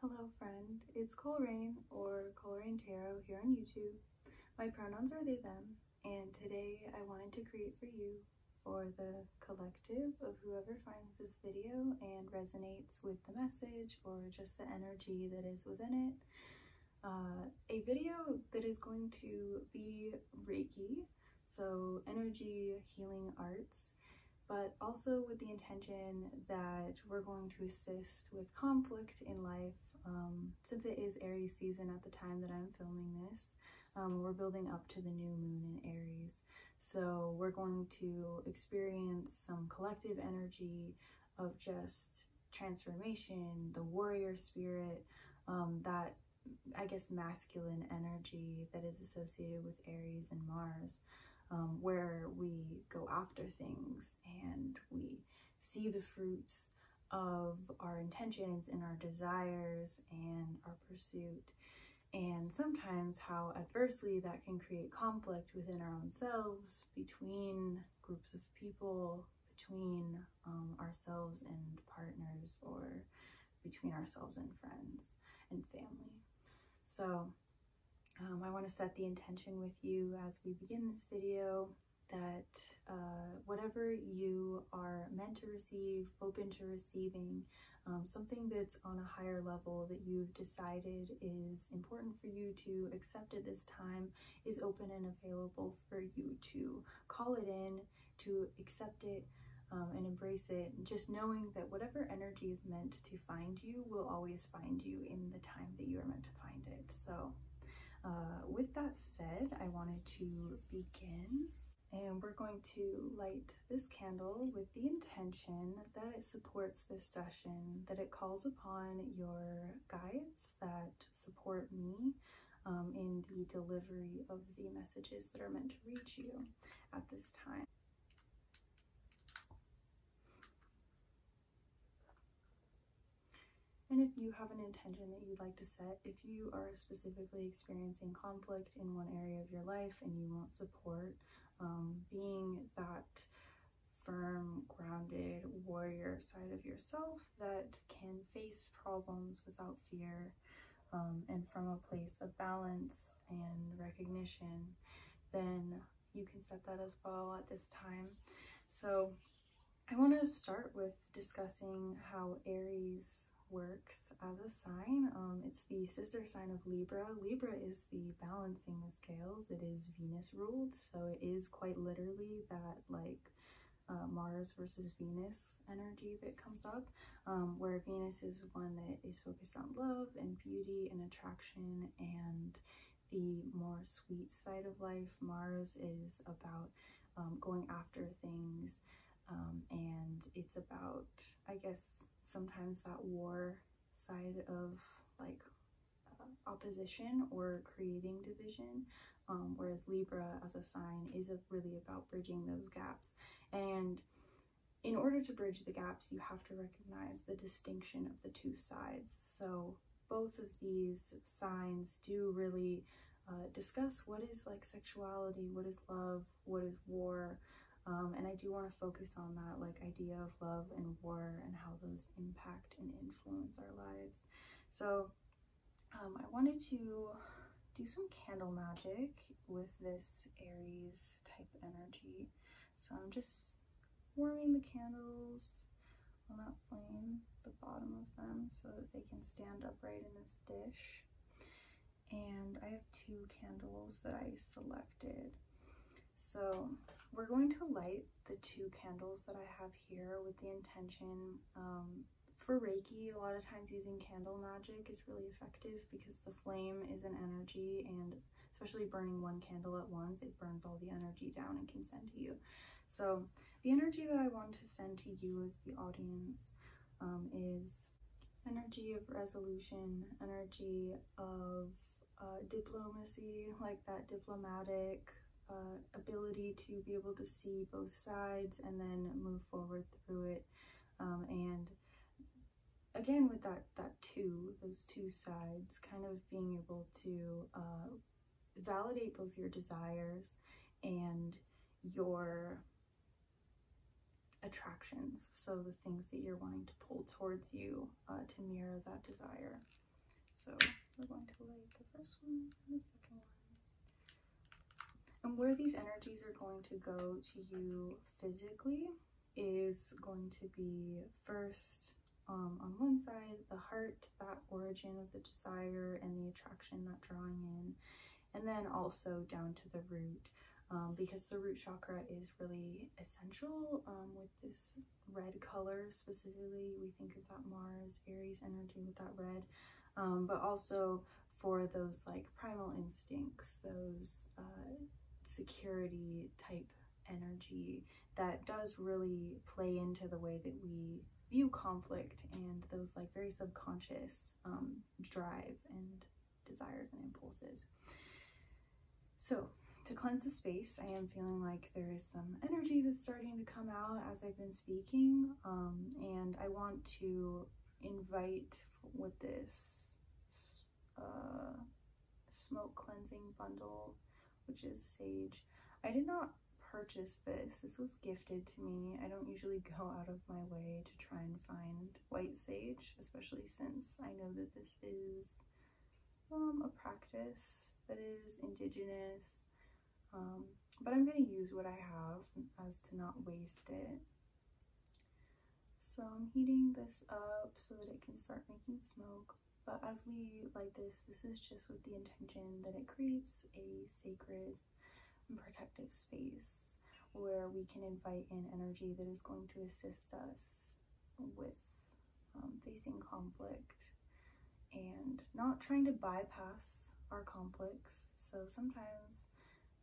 Hello friend, it's Coleraine or Coleraine Tarot here on YouTube. My pronouns are they them and today I wanted to create for you for the collective of whoever finds this video and resonates with the message or just the energy that is within it. Uh, a video that is going to be Reiki so energy, healing arts, but also with the intention that we're going to assist with conflict in life. Um, since it is Aries season at the time that I'm filming this, um, we're building up to the new moon in Aries. So we're going to experience some collective energy of just transformation, the warrior spirit, um, that I guess, masculine energy that is associated with Aries and Mars, um, where we go after things and we see the fruits of our intentions and our desires and our pursuit. And sometimes how adversely that can create conflict within our own selves, between groups of people, between um, ourselves and partners or between ourselves and friends and family. So um, I want to set the intention with you as we begin this video that uh, whatever you are meant to receive, open to receiving, um, something that's on a higher level that you've decided is important for you to accept at this time is open and available for you to call it in to accept it um, and embrace it. Just knowing that whatever energy is meant to find you will always find you in the time that you are meant to find it. So uh, with that said, I wanted to begin and we're going to light this candle with the intention that it supports this session, that it calls upon your guides that support me um, in the delivery of the messages that are meant to reach you at this time. And if you have an intention that you'd like to set, if you are specifically experiencing conflict in one area of your life and you want support, um, being that firm, grounded warrior side of yourself that can face problems without fear um, and from a place of balance and recognition, then you can set that as well at this time. So I want to start with discussing how Aries works as a sign. Um, it's the sister sign of Libra. Libra is the balancing of scales. It is Venus ruled, so it is quite literally that like uh, Mars versus Venus energy that comes up, um, where Venus is one that is focused on love and beauty and attraction and the more sweet side of life. Mars is about um, going after things um, and it's about, I guess, sometimes that war side of like uh, opposition or creating division. whereas Libra as a sign is really about bridging those gaps. And in order to bridge the gaps, you have to recognize the distinction of the two sides. So both of these signs do really uh, discuss what is like sexuality, what is love, what is war, um, and I do want to focus on that like idea of love and war and how those impact and influence our lives. So um, I wanted to do some candle magic with this Aries type energy. So I'm just warming the candles on that flame, the bottom of them, so that they can stand upright in this dish. And I have two candles that I selected. So we're going to light the two candles that I have here with the intention um, for Reiki, a lot of times using candle magic is really effective because the flame is an energy and especially burning one candle at once, it burns all the energy down and can send to you. So the energy that I want to send to you as the audience um, is energy of resolution, energy of uh, diplomacy, like that diplomatic uh, ability to be able to see both sides and then move forward through it um, and again with that that two those two sides kind of being able to uh, validate both your desires and your attractions so the things that you're wanting to pull towards you uh, to mirror that desire so we're going to light the first one and the second one and where these energies are going to go to you physically is going to be first um, on one side, the heart, that origin of the desire and the attraction, that drawing in, and then also down to the root, um, because the root chakra is really essential um, with this red color specifically. We think of that Mars, Aries energy with that red, but also for those like primal instincts, those uh, security type energy that does really play into the way that we view conflict and those like very subconscious um, drive and desires and impulses. So to cleanse the space, I am feeling like there is some energy that's starting to come out as I've been speaking. Um, and I want to invite with this a uh, smoke cleansing bundle, which is sage. I did not purchase this. This was gifted to me. I don't usually go out of my way to try and find white sage, especially since I know that this is um, a practice that is indigenous. Um, but I'm going to use what I have as to not waste it. So I'm heating this up so that it can start making smoke. But as we light this, this is just with the intention that it creates a sacred and protective space where we can invite in energy that is going to assist us with um, facing conflict and not trying to bypass our conflicts. So sometimes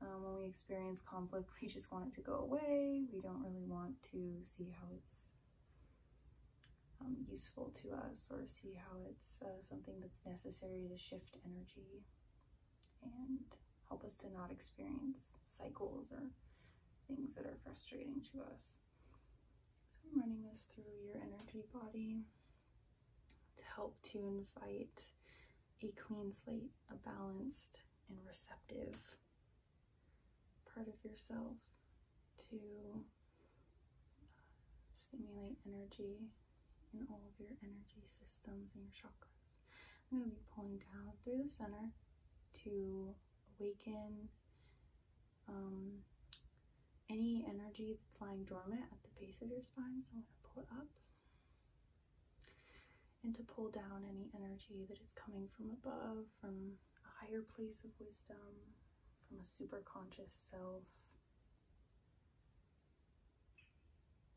um, when we experience conflict, we just want it to go away. We don't really want to see how it's um, useful to us or see how it's uh, something that's necessary to shift energy and help us to not experience cycles or things that are frustrating to us. So I'm running this through your energy body to help to invite a clean slate, a balanced and receptive part of yourself to uh, stimulate energy in all of your energy systems and your chakras. I'm going to be pulling down through the center to awaken um, any energy that's lying dormant at the base of your spine. So I'm going to pull it up and to pull down any energy that is coming from above, from a higher place of wisdom, from a super conscious self.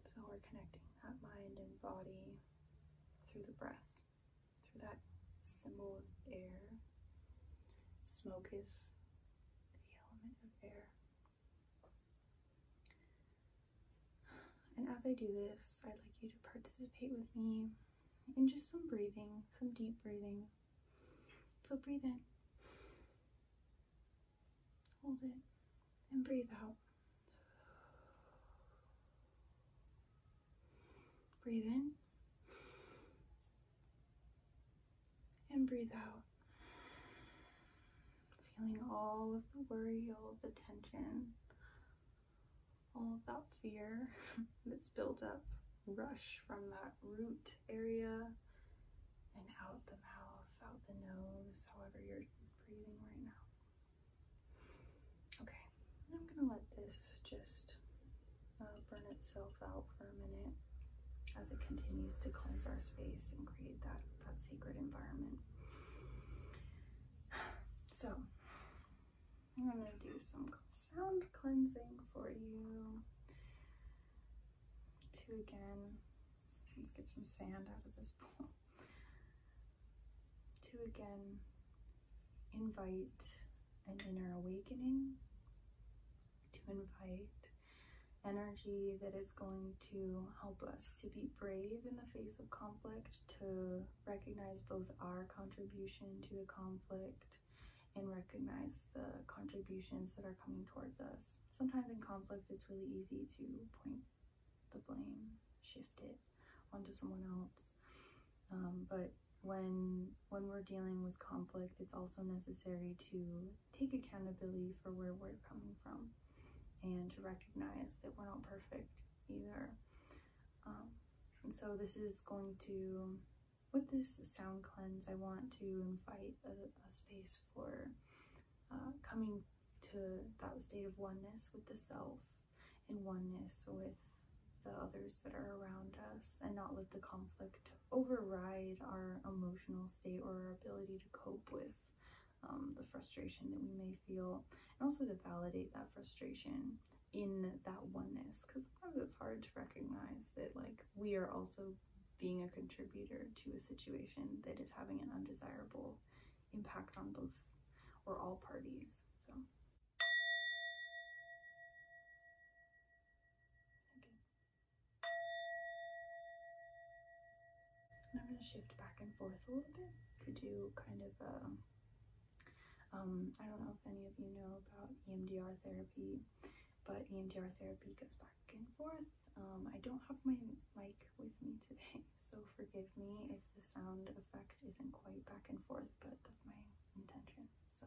So we're connecting that mind and body through the breath, through that symbol of air. Smoke is the element of air. And as I do this, I'd like you to participate with me in just some breathing, some deep breathing. So breathe in, hold it, and breathe out. Breathe in and breathe out. Feeling all of the worry, all of the tension, all of that fear that's built up rush from that root area and out the mouth, out the nose, however you're breathing right now. Okay, I'm gonna let this just uh, burn itself out for a minute as it continues to cleanse our space and create that, that sacred environment. So I'm going to do some sound cleansing for you to again, let's get some sand out of this bowl, to again invite an inner awakening, to invite energy that is going to help us to be brave in the face of conflict, to recognize both our contribution to the conflict and recognize the contributions that are coming towards us. Sometimes in conflict, it's really easy to point the blame, shift it onto someone else. Um, but when when we're dealing with conflict, it's also necessary to take accountability for where we're coming from and to recognize that we're not perfect either. Um, and so this is going to, with this sound cleanse, I want to invite a, space for uh, coming to that state of oneness with the self and oneness with the others that are around us and not let the conflict override our emotional state or our ability to cope with um, the frustration that we may feel and also to validate that frustration in that oneness because sometimes it's hard to recognize that like we are also being a contributor to a situation that is having an undesirable impact on both or all parties so and I'm going to shift back and forth a little bit to do kind of a um, um, I don't know if any of you know about EMDR therapy, but EMDR therapy goes back and forth. Um, I don't have my mic with me today, so forgive me if the sound effect isn't quite back and forth, but that's my intention. So.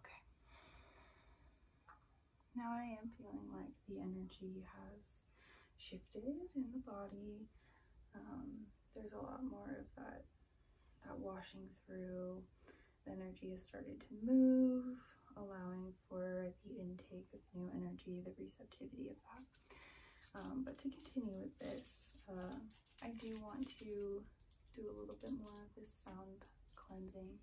Okay. Now I am feeling like the energy has shifted in the body. Um, there's a lot more of that that washing through. The energy has started to move, allowing for the intake of new energy, the receptivity of that. Um, but to continue with this, uh, I do want to do a little bit more of this sound cleansing.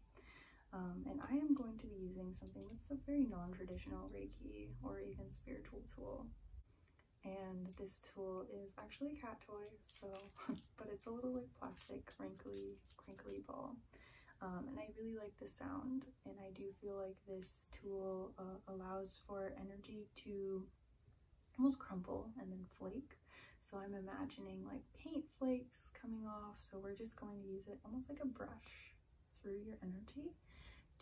Um, and I am going to be using something that's a very non-traditional Reiki or even spiritual tool. And this tool is actually a cat toy, so, but it's a little like plastic, crinkly, crinkly ball. Um, and I really like the sound, and I do feel like this tool uh, allows for energy to almost crumple and then flake. So I'm imagining like paint flakes coming off. So we're just going to use it almost like a brush through your energy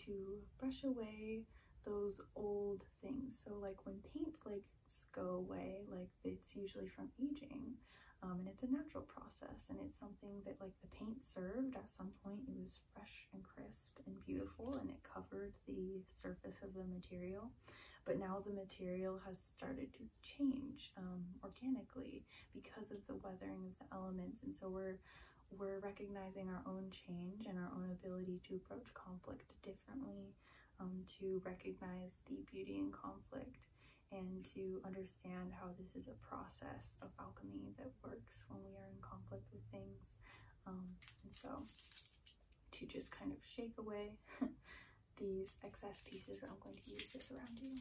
to brush away those old things. So like when paint flakes go away, like it's usually from aging um, and it's a natural process and it's something that like the paint served at some point, it was fresh and crisp and beautiful and it covered the surface of the material but now the material has started to change um, organically because of the weathering of the elements and so we're we're recognizing our own change and our own ability to approach conflict differently um, to recognize the beauty in conflict and to understand how this is a process of alchemy that works when we are in conflict with things um, and so to just kind of shake away these excess pieces, I'm going to use this around you.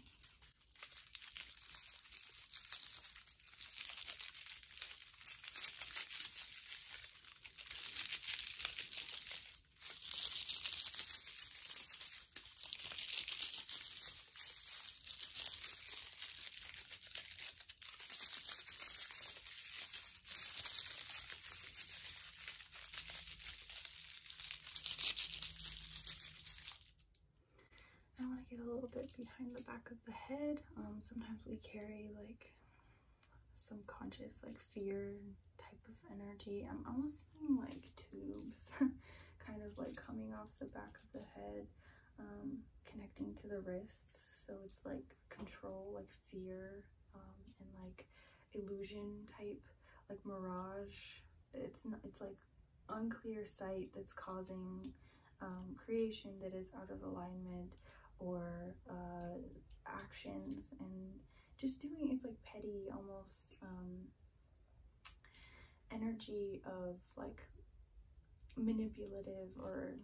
I want to get a little bit behind the back of the head. Um, sometimes we carry like subconscious like fear type of energy. I'm almost seeing like tubes kind of like coming off the back of the head, um, connecting to the wrists. So it's like control, like fear, um, and like illusion type, like mirage. It's not, it's like unclear sight that's causing um, creation that is out of alignment or uh, actions and just doing it's like petty almost um, energy of like manipulative or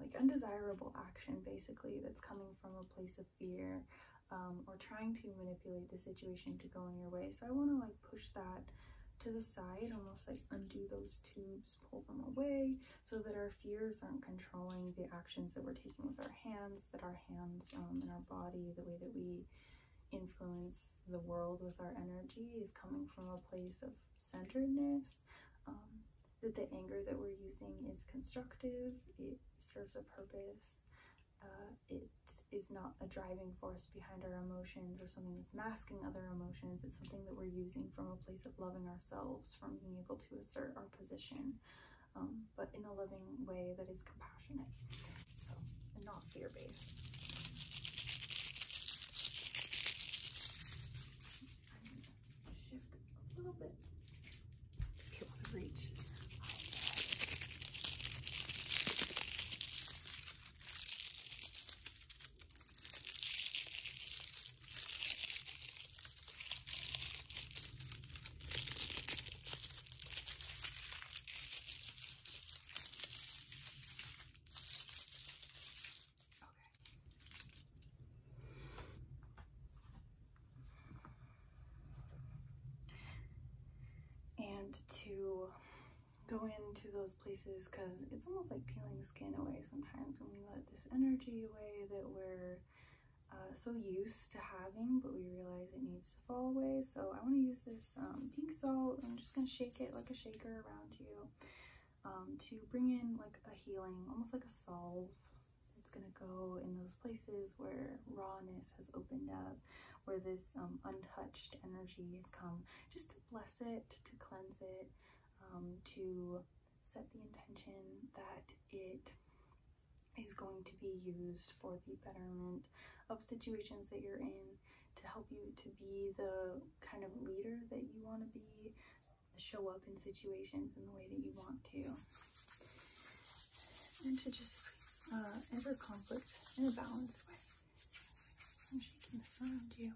like undesirable action basically that's coming from a place of fear um, or trying to manipulate the situation to go in your way. So I want to like push that to the side, almost like undo those tubes, pull them away so that our fears aren't controlling the actions that we're taking with our hands, that our hands um, and our body, the way that we influence the world with our energy is coming from a place of centeredness, um, that the anger that we're using is constructive, it serves a purpose, uh, it is not a driving force behind our emotions or something that's masking other emotions. It's something that we're using from a place of loving ourselves, from being able to assert our position, um, but in a loving way that is compassionate, so and not fear-based shift a little bit if you want to reach. And to go into those places because it's almost like peeling skin away sometimes when we let this energy away that we're uh, so used to having but we realize it needs to fall away so I want to use this um, pink salt I'm just gonna shake it like a shaker around you um, to bring in like a healing, almost like a salve. It's gonna go in those places where rawness has opened up, where this um, untouched energy has come, just to bless it, to cleanse it, um, to set the intention that it is going to be used for the betterment of situations that you're in to help you to be the kind of leader that you want to be, show up in situations in the way that you want to. And to just uh, enter conflict in a balanced way. I'm shaking this around you.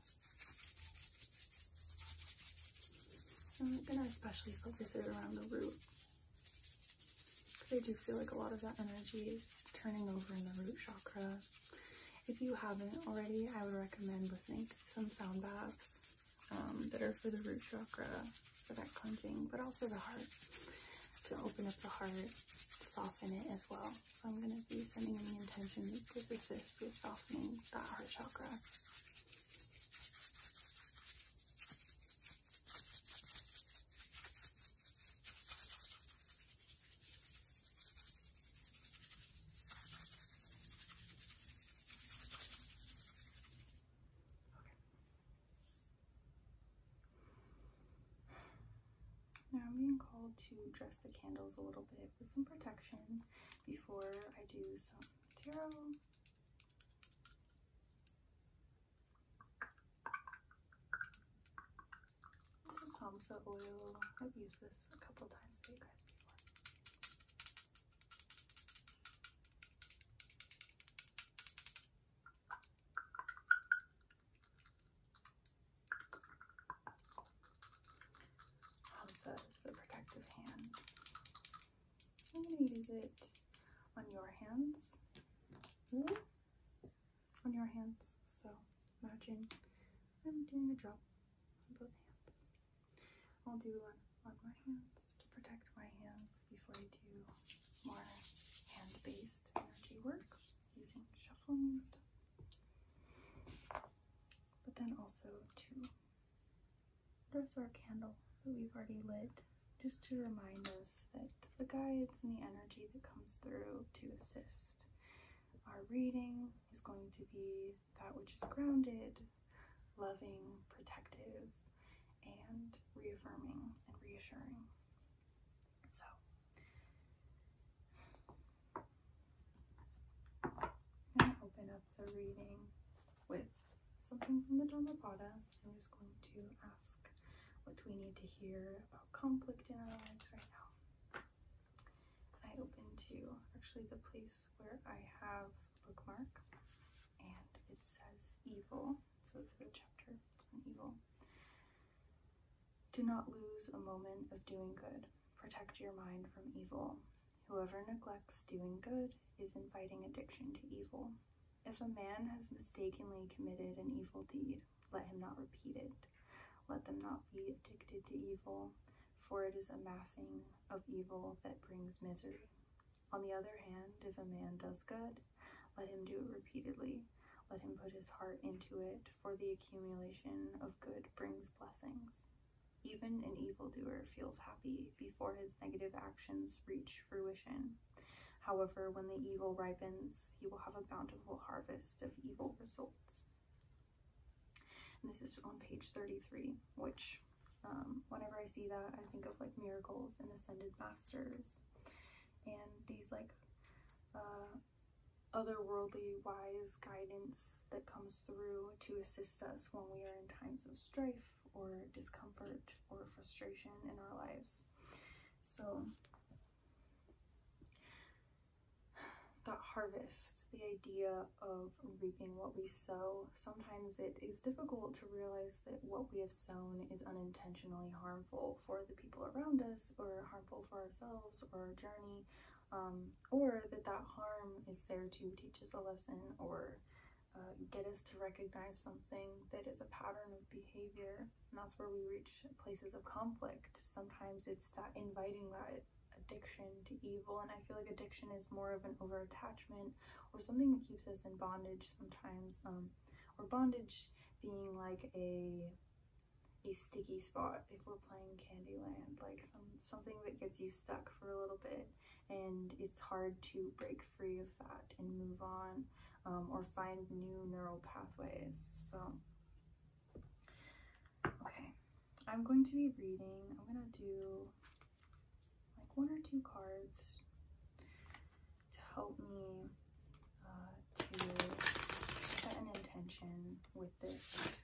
I'm um, gonna especially focus it around the root. Because I do feel like a lot of that energy is turning over in the root chakra. If you haven't already, I would recommend listening to some sound baths Better um, for the root chakra, for that cleansing, but also the heart, to open up the heart, soften it as well. So I'm going to be sending the intention that this assists with softening that heart chakra. Now I'm being called to dress the candles a little bit with some protection before I do some tarot. This is Hamsa oil. I've used this a couple times for you guys before. Hansa um, is the protective hand. I'm going to use it on your hands. Hmm? On your hands. So imagine I'm doing a drop on both hands. I'll do one on my hands to protect my hands before I do more hand-based energy work using shuffling and stuff. But then also to dress our candle that we've already lit just to remind us that the guides and the energy that comes through to assist our reading is going to be that which is grounded, loving, protective, and reaffirming and reassuring. So, I'm going to open up the reading with something from the Dhammapada. I'm just going to ask what we need to hear about conflict in our lives right now. I open to actually the place where I have bookmark and it says evil. So it's a chapter on evil. Do not lose a moment of doing good. Protect your mind from evil. Whoever neglects doing good is inviting addiction to evil. If a man has mistakenly committed an evil deed, let him not repeat it. Let them not be addicted to evil, for it is amassing of evil that brings misery. On the other hand, if a man does good, let him do it repeatedly. Let him put his heart into it, for the accumulation of good brings blessings. Even an evil doer feels happy before his negative actions reach fruition. However, when the evil ripens, he will have a bountiful harvest of evil results. this is on page 33, which um, whenever I see that, I think of like miracles and ascended masters and these like uh, otherworldly wise guidance that comes through to assist us when we are in times of strife or discomfort or frustration in our lives. So that harvest, the idea of reaping what we sow, sometimes it is difficult to realize that what we have sown is unintentionally harmful for the people around us, or harmful for ourselves, or our journey, um, or that that harm is there to teach us a lesson or uh, get us to recognize something that is a pattern of behavior. And that's where we reach places of conflict. Sometimes it's that inviting that addiction to evil and i feel like addiction is more of an over attachment or something that keeps us in bondage sometimes um, or bondage being like a a sticky spot if we're playing Candyland, like some something that gets you stuck for a little bit and it's hard to break free of that and move on um, or find new neural pathways. So, okay, I'm going to be reading, I'm gonna do like one or two cards to help me uh, to set an intention with this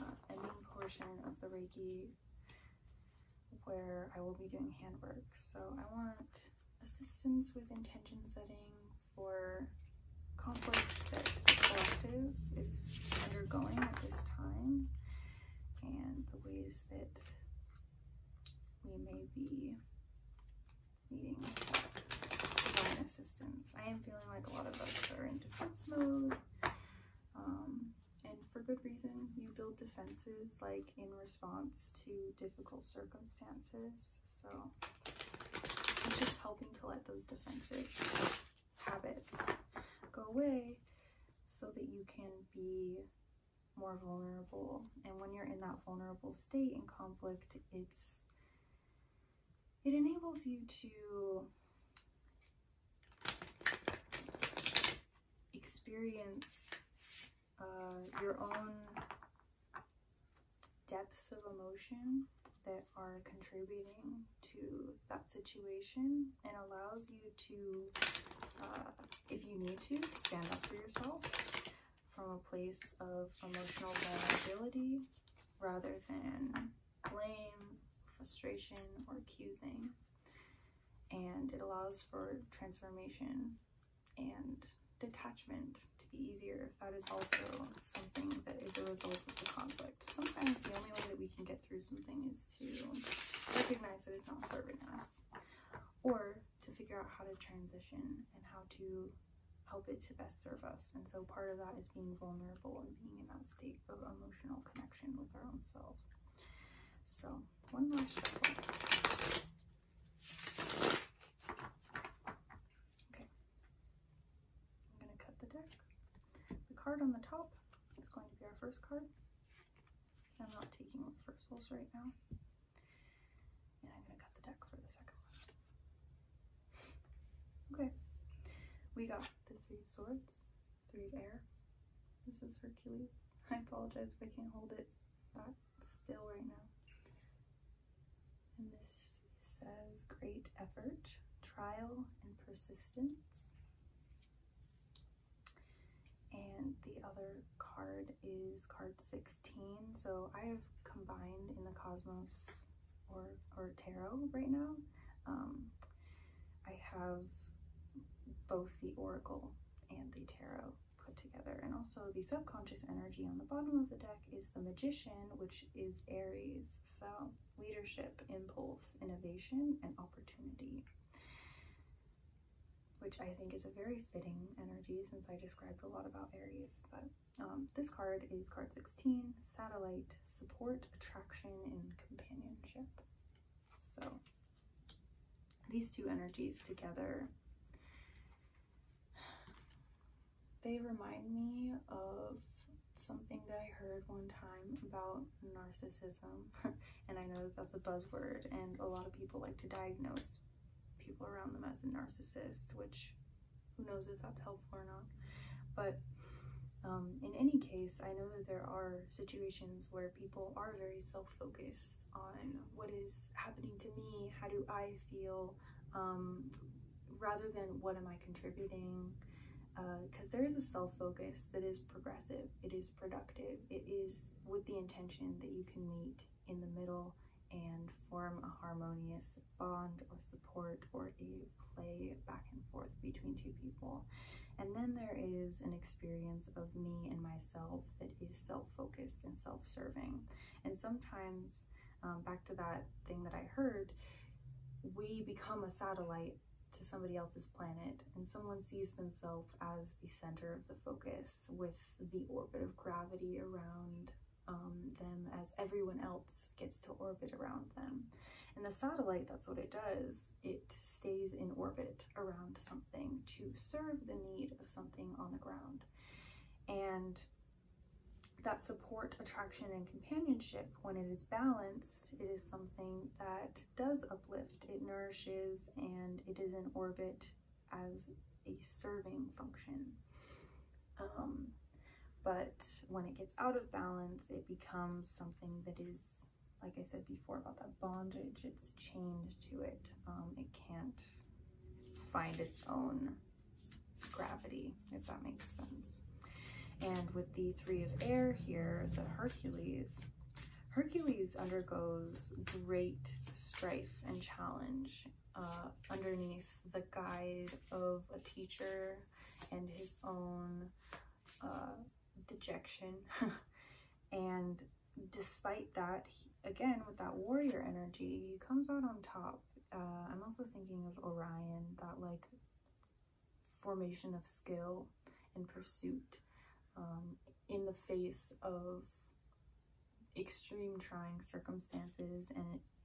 uh, ending portion of the Reiki where I will be doing handwork. So I want assistance with intention setting for conflicts that the collective is undergoing at this time and the ways that we may be needing design assistance. I am feeling like a lot of us are in defense mode, um, and for good reason. You build defenses like in response to difficult circumstances, so I'm just helping to let those defenses, habits, go away so that you can be more vulnerable. And when you're in that vulnerable state in conflict, it's it enables you to experience uh, your own depths of emotion that are contributing to that situation and allows you to, uh, if you need to, stand up for yourself from a place of emotional vulnerability rather than blame, frustration, or accusing. And it allows for transformation and detachment to be easier if that is also something that is a result of the conflict. Sometimes the only way that we can get through something is to recognize that it's not serving us or to figure out how to transition and how to help it to best serve us. And so part of that is being vulnerable and being in that state of emotional connection with our own self. So one last shuffle. Okay. I'm going to cut the deck. The card on the top is going to be our first card. I'm not taking reversals right now. And I'm going to cut the deck for the second one. Okay. We got the Three of Swords, Three of Air. This is Hercules. I apologize if I can't hold it that still right now. And this says great effort, trial, and persistence. And the other card is card 16. So I have combined in the cosmos or, or tarot right now. Um, I have both the oracle and the tarot put together. And also the subconscious energy on the bottom of the deck is the magician, which is Aries. So leadership, impulse, innovation, and opportunity which I think is a very fitting energy since I described a lot about Aries. But um, this card is card 16, Satellite, Support, Attraction, and Companionship. So these two energies together, they remind me of something that I heard one time about narcissism, and I know that that's a buzzword, and a lot of people like to diagnose people around them as a narcissist, which who knows if that's helpful or not. But um, in any case, I know that there are situations where people are very self focused on what is happening to me, how do I feel, um, rather than what am I contributing. Because uh, there is a self focus that is progressive, it is productive, it is with the intention that you can meet in the middle and form a harmonious bond or support or a play back and forth between two people. And then there is an experience of me and myself that is self focused and self serving. And sometimes, um, back to that thing that I heard, we become a satellite to somebody else's planet and someone sees themselves as the center of the focus with the orbit of gravity around um, them as everyone else gets to orbit around them. And the satellite, that's what it does. It stays in orbit around something to serve the need of something on the ground. And that support, attraction, and companionship, when it is balanced, it is something that does uplift, it nourishes, and it is in orbit as a serving function. Um, but when it gets out of balance, it becomes something that is, like I said before about that bondage, it's chained to it. Um, it can't find its own gravity, if that makes sense. And with the three of air here, the Hercules, Hercules undergoes great strife and challenge uh, underneath the guide of a teacher and his own uh, dejection. and despite that, again, with that warrior energy, he comes out on top. Uh, I'm also thinking of Orion, that like formation of skill and pursuit um, in the face of extreme trying circumstances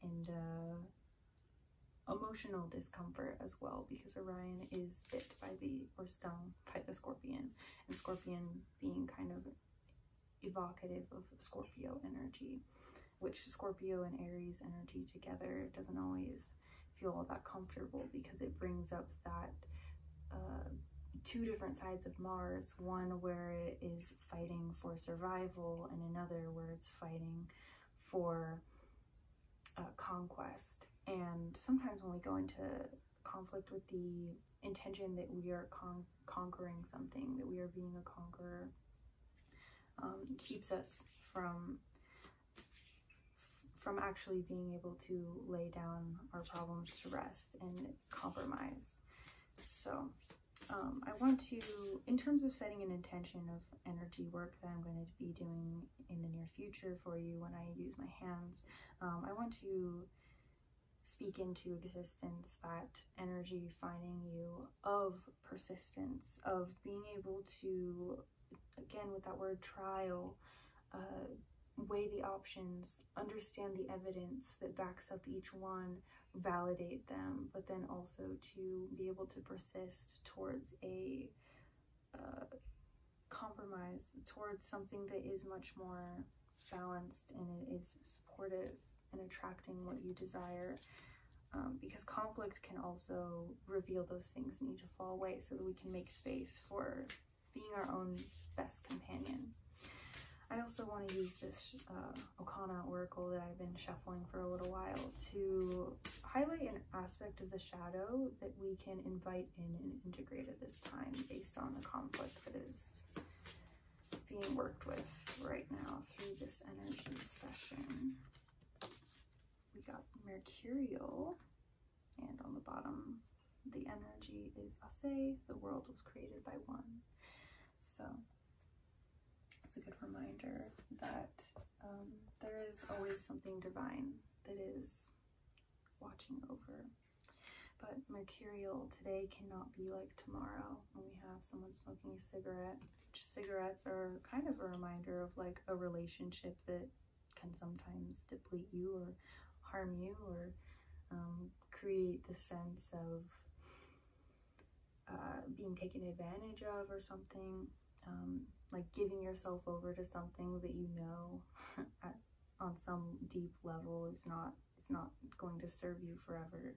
and uh, emotional discomfort as well because Orion is bit by the or stung by the scorpion and scorpion being kind of evocative of Scorpio energy which Scorpio and Aries energy together doesn't always feel that comfortable because it brings up that uh, two different sides of Mars, one where it is fighting for survival and another where it's fighting for uh, conquest. And sometimes when we go into conflict with the intention that we are conquering something, that we are being a conqueror, um, keeps us from from actually being able to lay down our problems to rest and compromise. So um, I want to, in terms of setting an intention of energy work that I'm going to be doing in the near future for you when I use my hands, um, I want to speak into existence that energy finding you of persistence, of being able to, again with that word trial, uh, weigh the options, understand the evidence that backs up each one, validate them, but then also to be able to persist towards a uh, compromise, towards something that is much more balanced and it is supportive and attracting what you desire. Um, because conflict can also reveal those things need to fall away so that we can make space for being our own best companion. I also want to use this uh, Okana Oracle that I've been shuffling for a little while to highlight an aspect of the shadow that we can invite in and integrate at this time based on the conflict that is being worked with right now through this energy session. We got Mercurial and on the bottom the energy is ase, the world was created by one. So it's a good reminder that um, there is always something divine that is watching over. But mercurial today cannot be like tomorrow when we have someone smoking a cigarette. cigarettes are kind of a reminder of like a relationship that can sometimes deplete you or harm you or um, create the sense of uh, being taken advantage of or something, um, like giving yourself over to something that you know at, on some deep level is not is not going to serve you forever.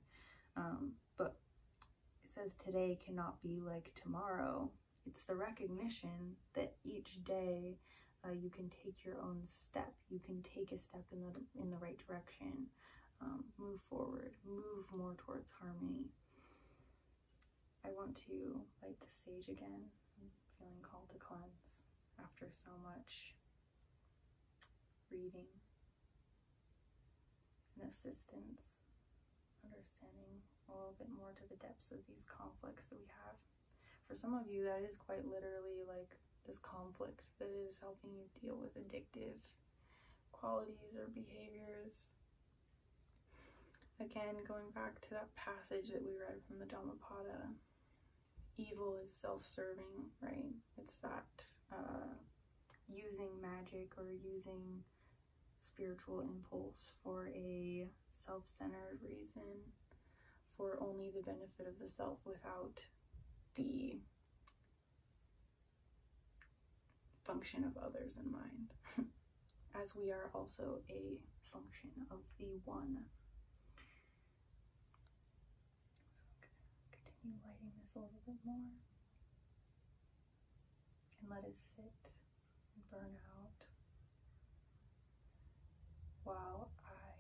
Um, but it says today cannot be like tomorrow. It's the recognition that each day uh, you can take your own step. You can take a step in the in the right direction. Um, move forward. Move more towards harmony. I want to light the sage again. feeling called to cleanse after so much reading and assistance, understanding a little bit more to the depths of these conflicts that we have. For some of you, that is quite literally like this conflict that is helping you deal with addictive qualities or behaviors. Again, going back to that passage that we read from the Dhammapada, evil is self-serving, right? It's that uh, using magic or using spiritual impulse for a self-centered reason for only the benefit of the self without the function of others in mind, as we are also a function of the one. continue lighting this a little bit more and let it sit and burn out while I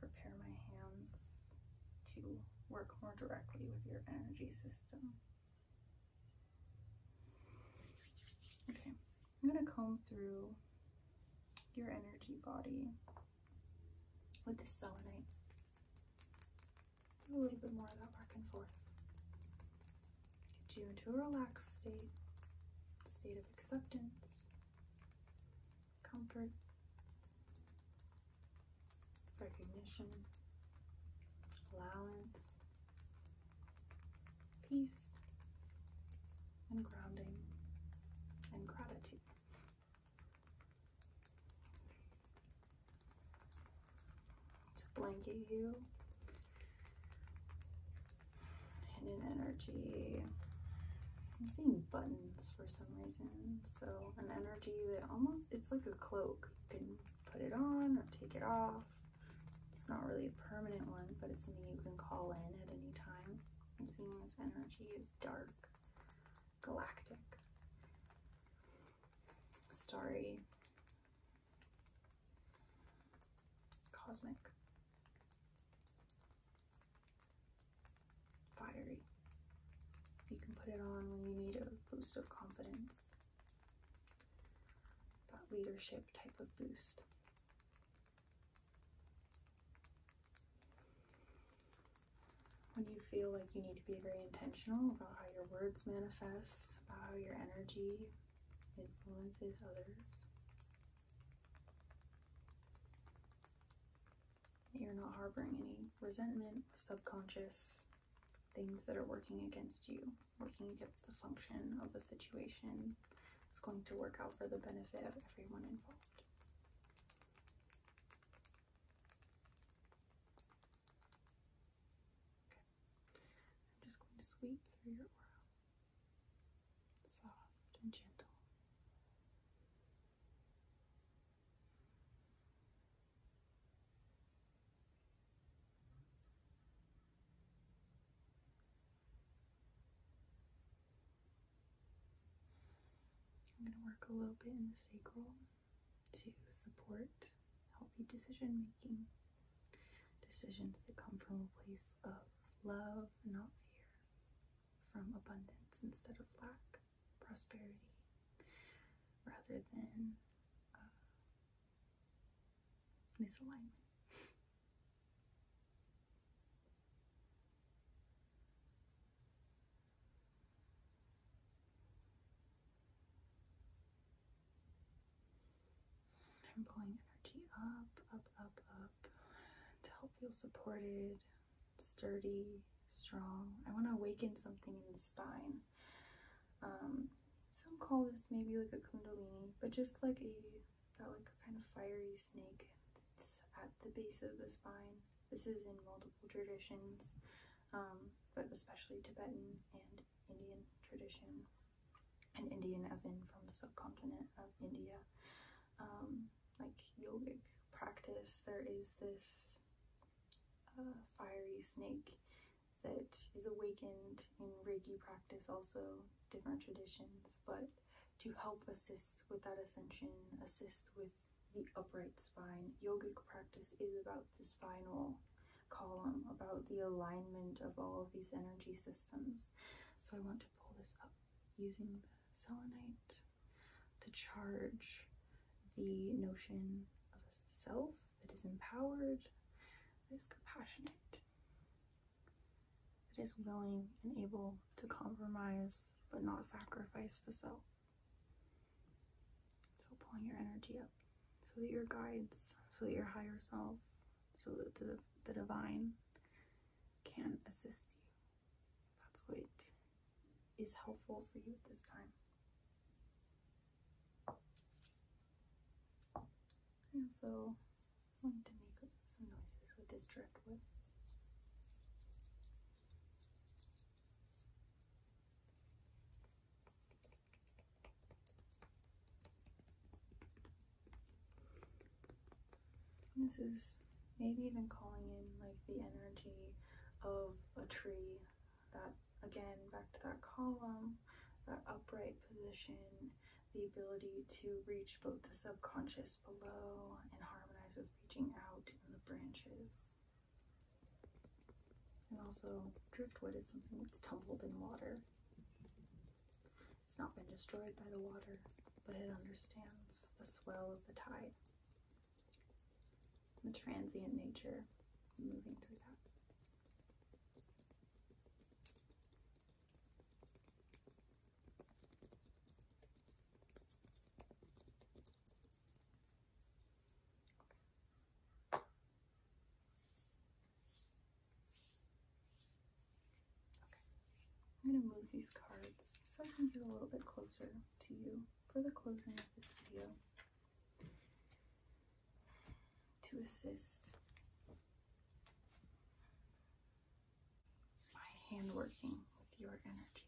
prepare my hands to work more directly with your energy system. Okay, I'm going to comb through your energy body with the selenite. a little bit more of that back and forth. Get you into a relaxed state, state of acceptance, comfort, recognition, allowance, peace, and grounding, and gratitude. To blanket you in an energy, buttons for some reason. So an energy that almost, it's like a cloak. You can put it on or take it off. It's not really a permanent one, but it's something you can call in at any time. I'm seeing this energy is dark, galactic, starry, cosmic fiery. You can put it on when you need a boost of confidence, that leadership type of boost. When you feel like you need to be very intentional about how your words manifest, about how your energy influences others you're not harboring any resentment, subconscious things that are working against you, working against the function of the situation. It's going to work out for the benefit of everyone involved. Okay. I'm just going to sweep through your aura soft and gentle. I'm going to work a little bit in the sacral to support healthy decision making, decisions that come from a place of love, not fear, from abundance instead of lack, prosperity, rather than uh, misalignment. I'm pulling energy up, up, up, up to help feel supported, sturdy, strong. I want to awaken something in the spine. Um, some call this maybe like a kundalini, but just like a that like kind of fiery snake that's at the base of the spine. This is in multiple traditions, um, but especially Tibetan and Indian tradition, and Indian as in from the subcontinent of India. Um, like yogic practice, there is this uh, fiery snake that is awakened in Reiki practice, also different traditions, but to help assist with that ascension, assist with the upright spine. Yogic practice is about the spinal column, about the alignment of all of these energy systems. So I want to pull this up using the selenite to charge the notion of a self that is empowered, that is compassionate, that is willing and able to compromise but not sacrifice the self. So pulling your energy up so that your guides, so that your higher self, so that the, the divine can assist you that's what is helpful for you at this time. I also wanted to make some noises with this driftwood this is maybe even calling in like the energy of a tree that again back to that column that upright position the ability to reach both the subconscious below and harmonize with reaching out in the branches and also driftwood is something that's tumbled in water it's not been destroyed by the water but it understands the swell of the tide the transient nature moving through that. Okay. I'm going to move these cards so I can get a little bit closer to you for the closing of this video to assist my hand working with your energy.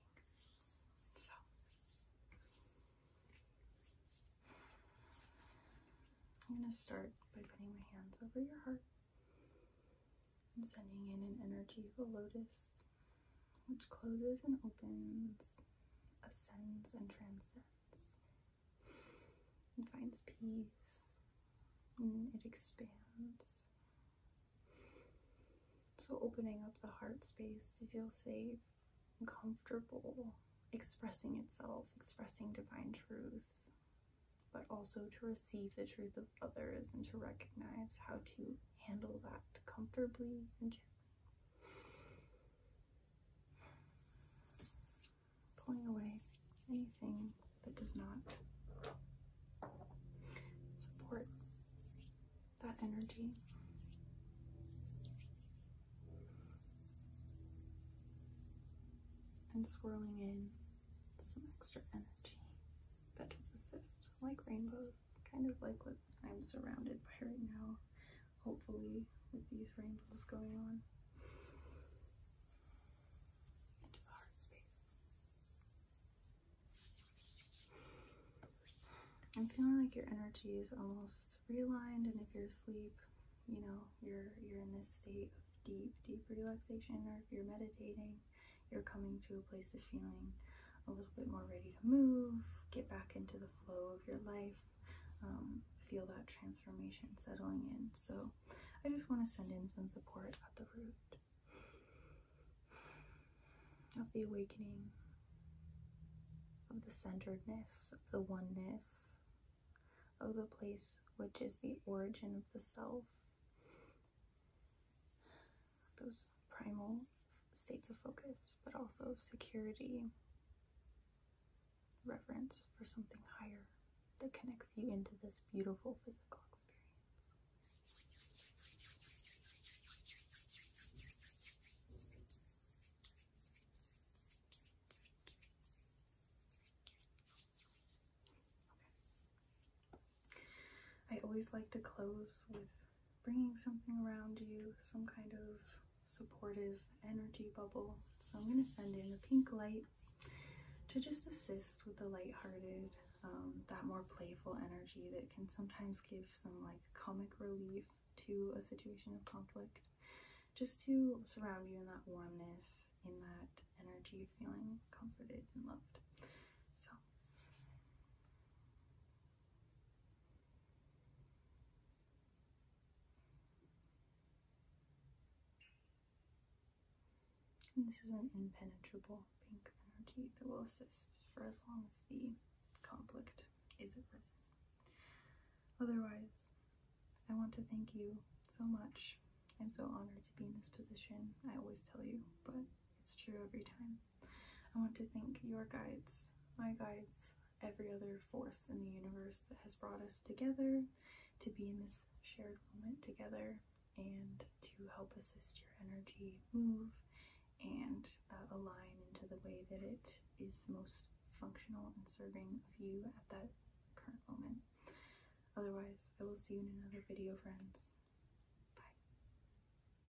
So I'm going to start by putting my hands over your heart and sending in an energy of a lotus which closes and opens, ascends and transcends, and finds peace, and it expands. So, opening up the heart space to feel safe comfortable, expressing itself, expressing divine truth, but also to receive the truth of others and to recognize how to handle that comfortably and gently. Pulling away anything that does not support that energy. And swirling in some extra energy that does assist, like rainbows kind of like what I'm surrounded by right now, hopefully, with these rainbows going on. Into the heart space. I'm feeling like your energy is almost realigned, and if you're asleep, you know, you're you're in this state of deep, deep relaxation, or if you're meditating, you're coming to a place of feeling a little bit more ready to move, get back into the flow of your life, um, feel that transformation settling in. So I just want to send in some support at the root of the awakening, of the centeredness, of the oneness, of the place which is the origin of the self those primal states of focus, but also of security, reverence for something higher that connects you into this beautiful physical experience. I always like to close with bringing something around you, some kind of supportive energy bubble. So I'm going to send in a pink light to just assist with the light-hearted, um, that more playful energy that can sometimes give some like comic relief to a situation of conflict. Just to surround you in that warmness, in that energy, feeling comforted and loved. So this is an impenetrable pink energy that will assist for as long as the conflict is arisen. Otherwise, I want to thank you so much. I'm so honored to be in this position, I always tell you, but it's true every time. I want to thank your guides, my guides, every other force in the universe that has brought us together to be in this shared moment together and to help assist your energy move and uh, align into the way that it is most functional and serving of you at that current moment. Otherwise, I will see you in another video, friends.